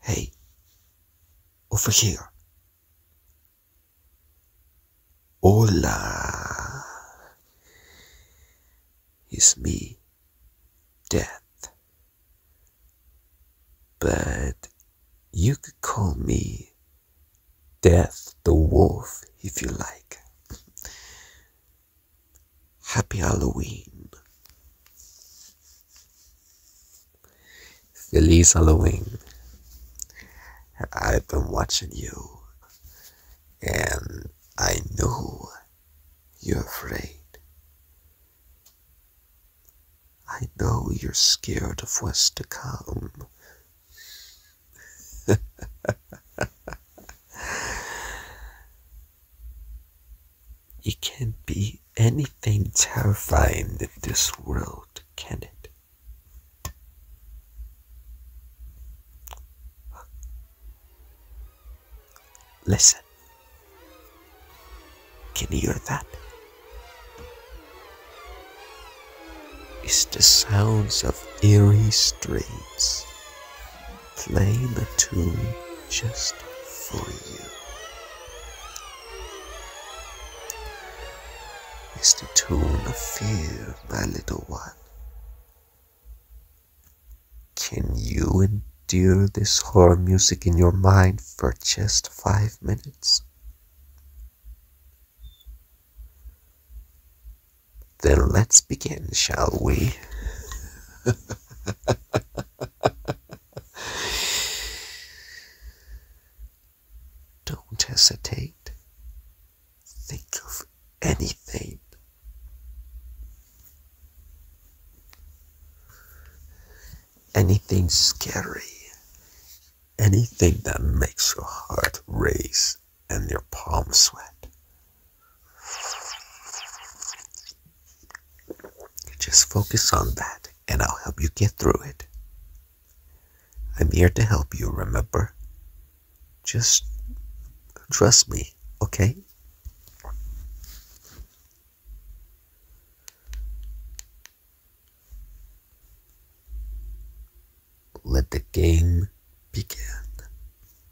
Hey. Over here. Hola. It's me, Death. But you could call me Death the Wolf if you like. Happy Halloween. Feliz Halloween. I've been watching you and I know you're afraid. I know you're scared of what's to come. It can't be anything terrifying in this world, can it? Listen. Can you hear that? It's the sounds of eerie streets. Play the tune just for you. It's the tune of fear, my little one. Can you endure this horror music in your mind for just five minutes? Then let's begin, shall we? Don't hesitate. Think of anything. Anything scary. Anything that makes your heart race and your palms sweat. Just focus on that and I'll help you get through it. I'm here to help you, remember? Just trust me, okay? Let the game begin.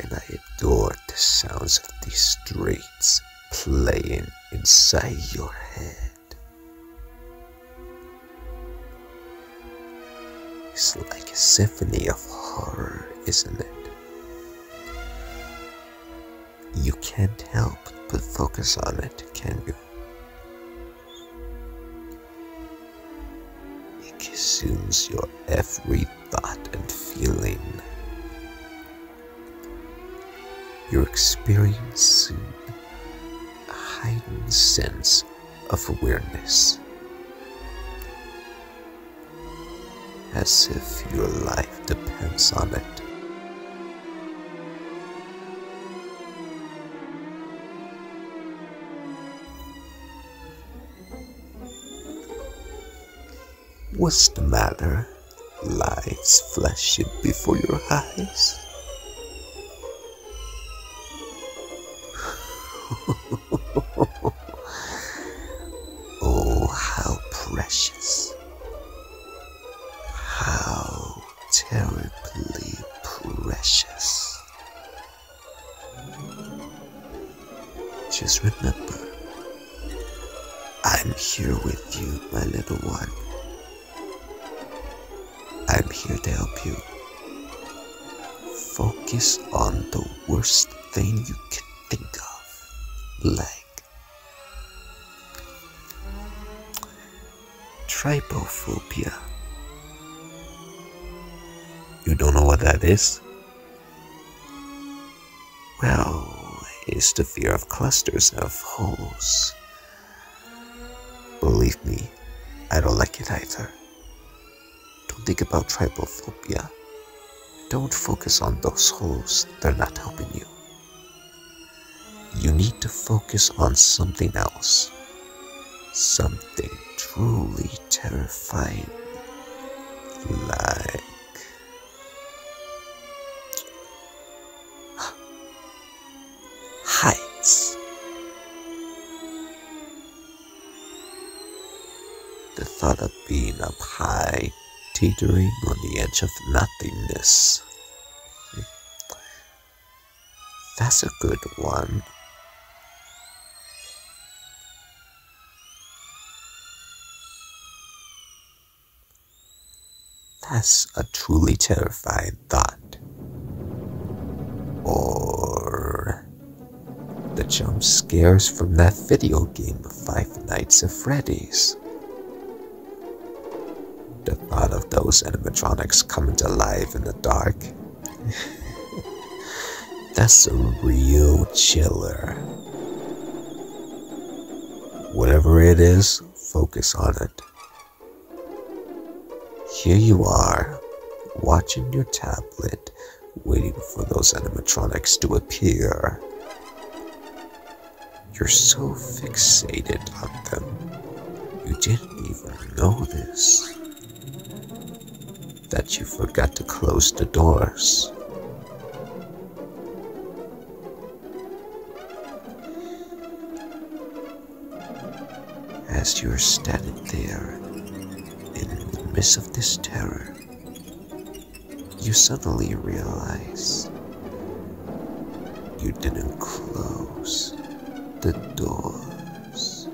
And I adore the sounds of these streets playing inside your head. It's like a symphony of horror, isn't it? You can't help but focus on it, can you? It consumes your every thought and feeling. You're experiencing a heightened sense of awareness. As if your life depends on it. What's the matter? Life flashing before your eyes? oh, how precious. How terribly precious. Just remember, I'm here with you, my little one. I'm here to help you. Focus on the worst thing you can think of, like Tripophobia. You don't know what that is? Well, it's the fear of clusters of holes. Believe me, I don't like it either. Don't think about tripophobia. Don't focus on those holes, they're not helping you you need to focus on something else. Something truly terrifying. Like. heights. The thought of being up high, teetering on the edge of nothingness that's a good one. That's a truly terrifying thought. Or the jump scares from that video game Five Nights at Freddy's. The thought of those animatronics coming to life in the dark. That's a real chiller. Whatever it is, focus on it. Here you are, watching your tablet, waiting for those animatronics to appear. You're so fixated on them. You didn't even notice that you forgot to close the doors. As you're standing there, in the midst of this terror, you suddenly realize you didn't close the doors.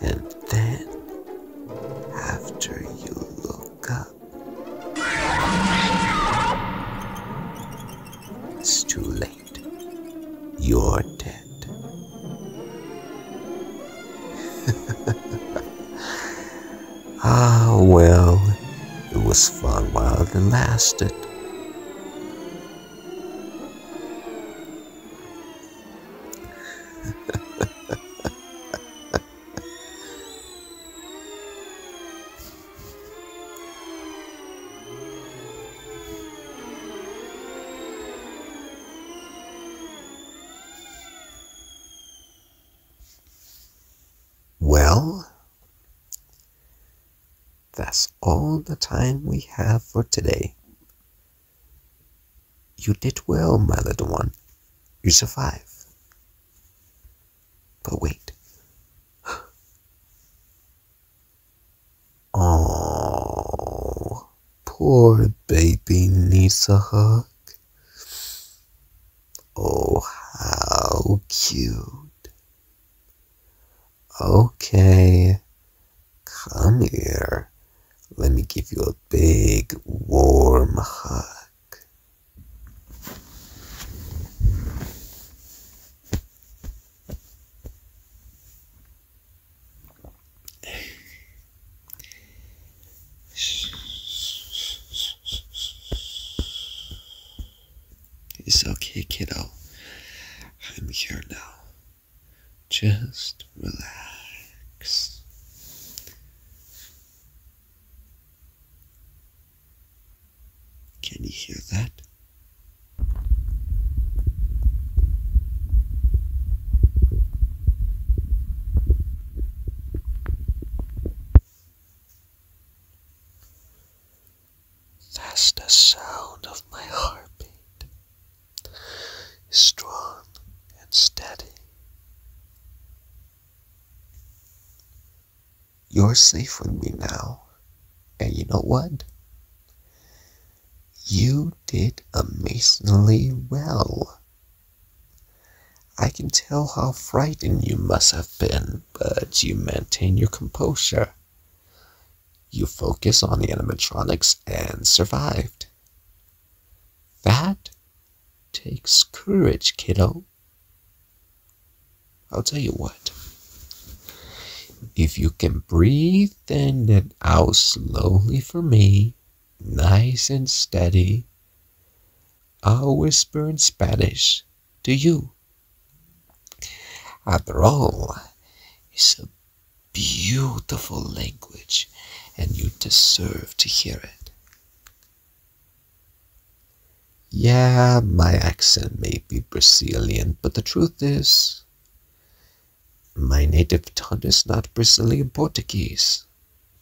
And then, after you look up, it's too late. You're dead. ah, well, it was fun while it lasted. Well, that's all the time we have for today. You did well, my little one. You survived. But wait. oh. Poor baby needs a hug. Oh, how cute. Okay, come here. Let me give you a big warm hug. It's okay, kiddo. I'm here now. Just relax. Can you hear that? As the sound of my heartbeat is strong and steady, you're safe with me now, and you know what? You did amazingly well. I can tell how frightened you must have been, but you maintain your composure. You focus on the animatronics and survived. That takes courage, kiddo. I'll tell you what. If you can breathe, then thin it out slowly for me, nice and steady. I'll whisper in Spanish to you. After all, it's a beautiful language and you deserve to hear it. Yeah, my accent may be Brazilian, but the truth is, my native tongue is not Brazilian Portuguese,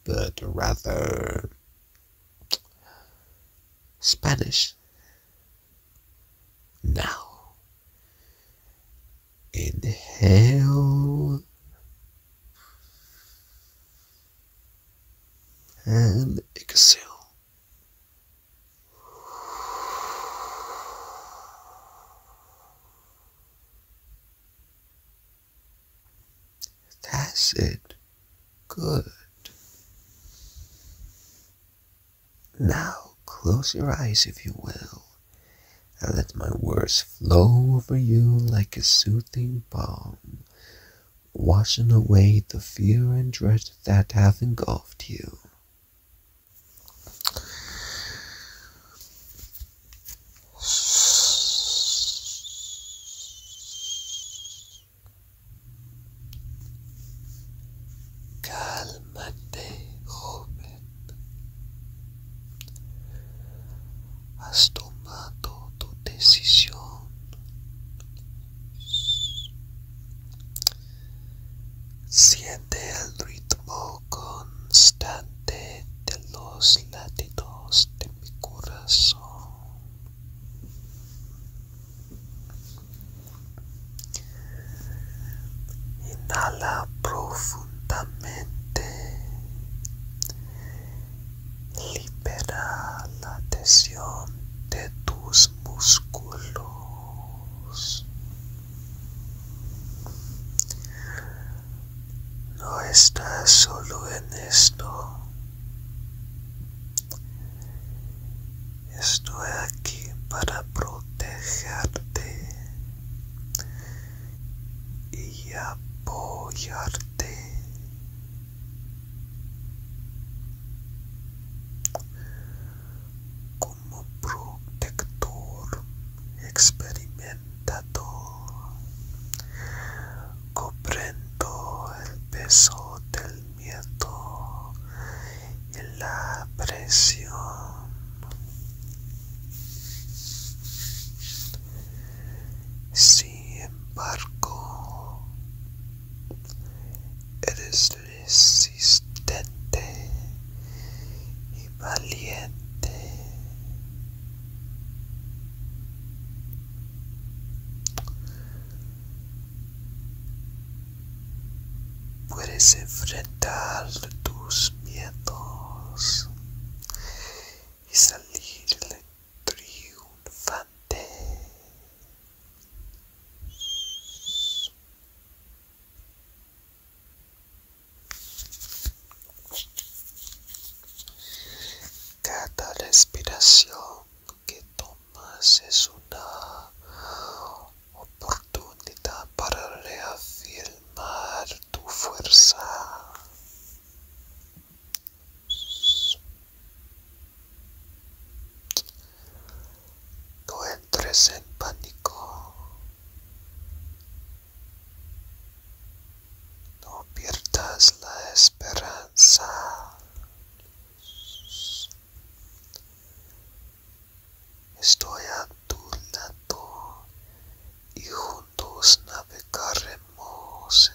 but rather Spanish. Now, inhale and exhale. That's it. Good. Now close your eyes, if you will, and let my words flow over you like a soothing balm, washing away the fear and dread that have engulfed you. Cálmate, joven. Has tomado tu decisión. Siente el ritmo constante de los latidos de mi corazón. Inhala profundamente. Libera la tensión de tus músculos. No estás solo en esto. Estoy aquí para protegerte y apoyarte protector experimentado. Comprendo el peso del miedo y la presión. Sin embargo, eres resistente y valiente. Puedes enfrentar tus miedos y salir triunfante. Cada respiración que tomas es una oportunidad para reafirmar tu fuerza. No entres en pánico. No pierdas la esperanza. Estoy a tu lado y juntos navegaremos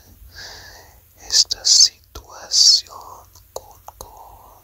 esta situación con, con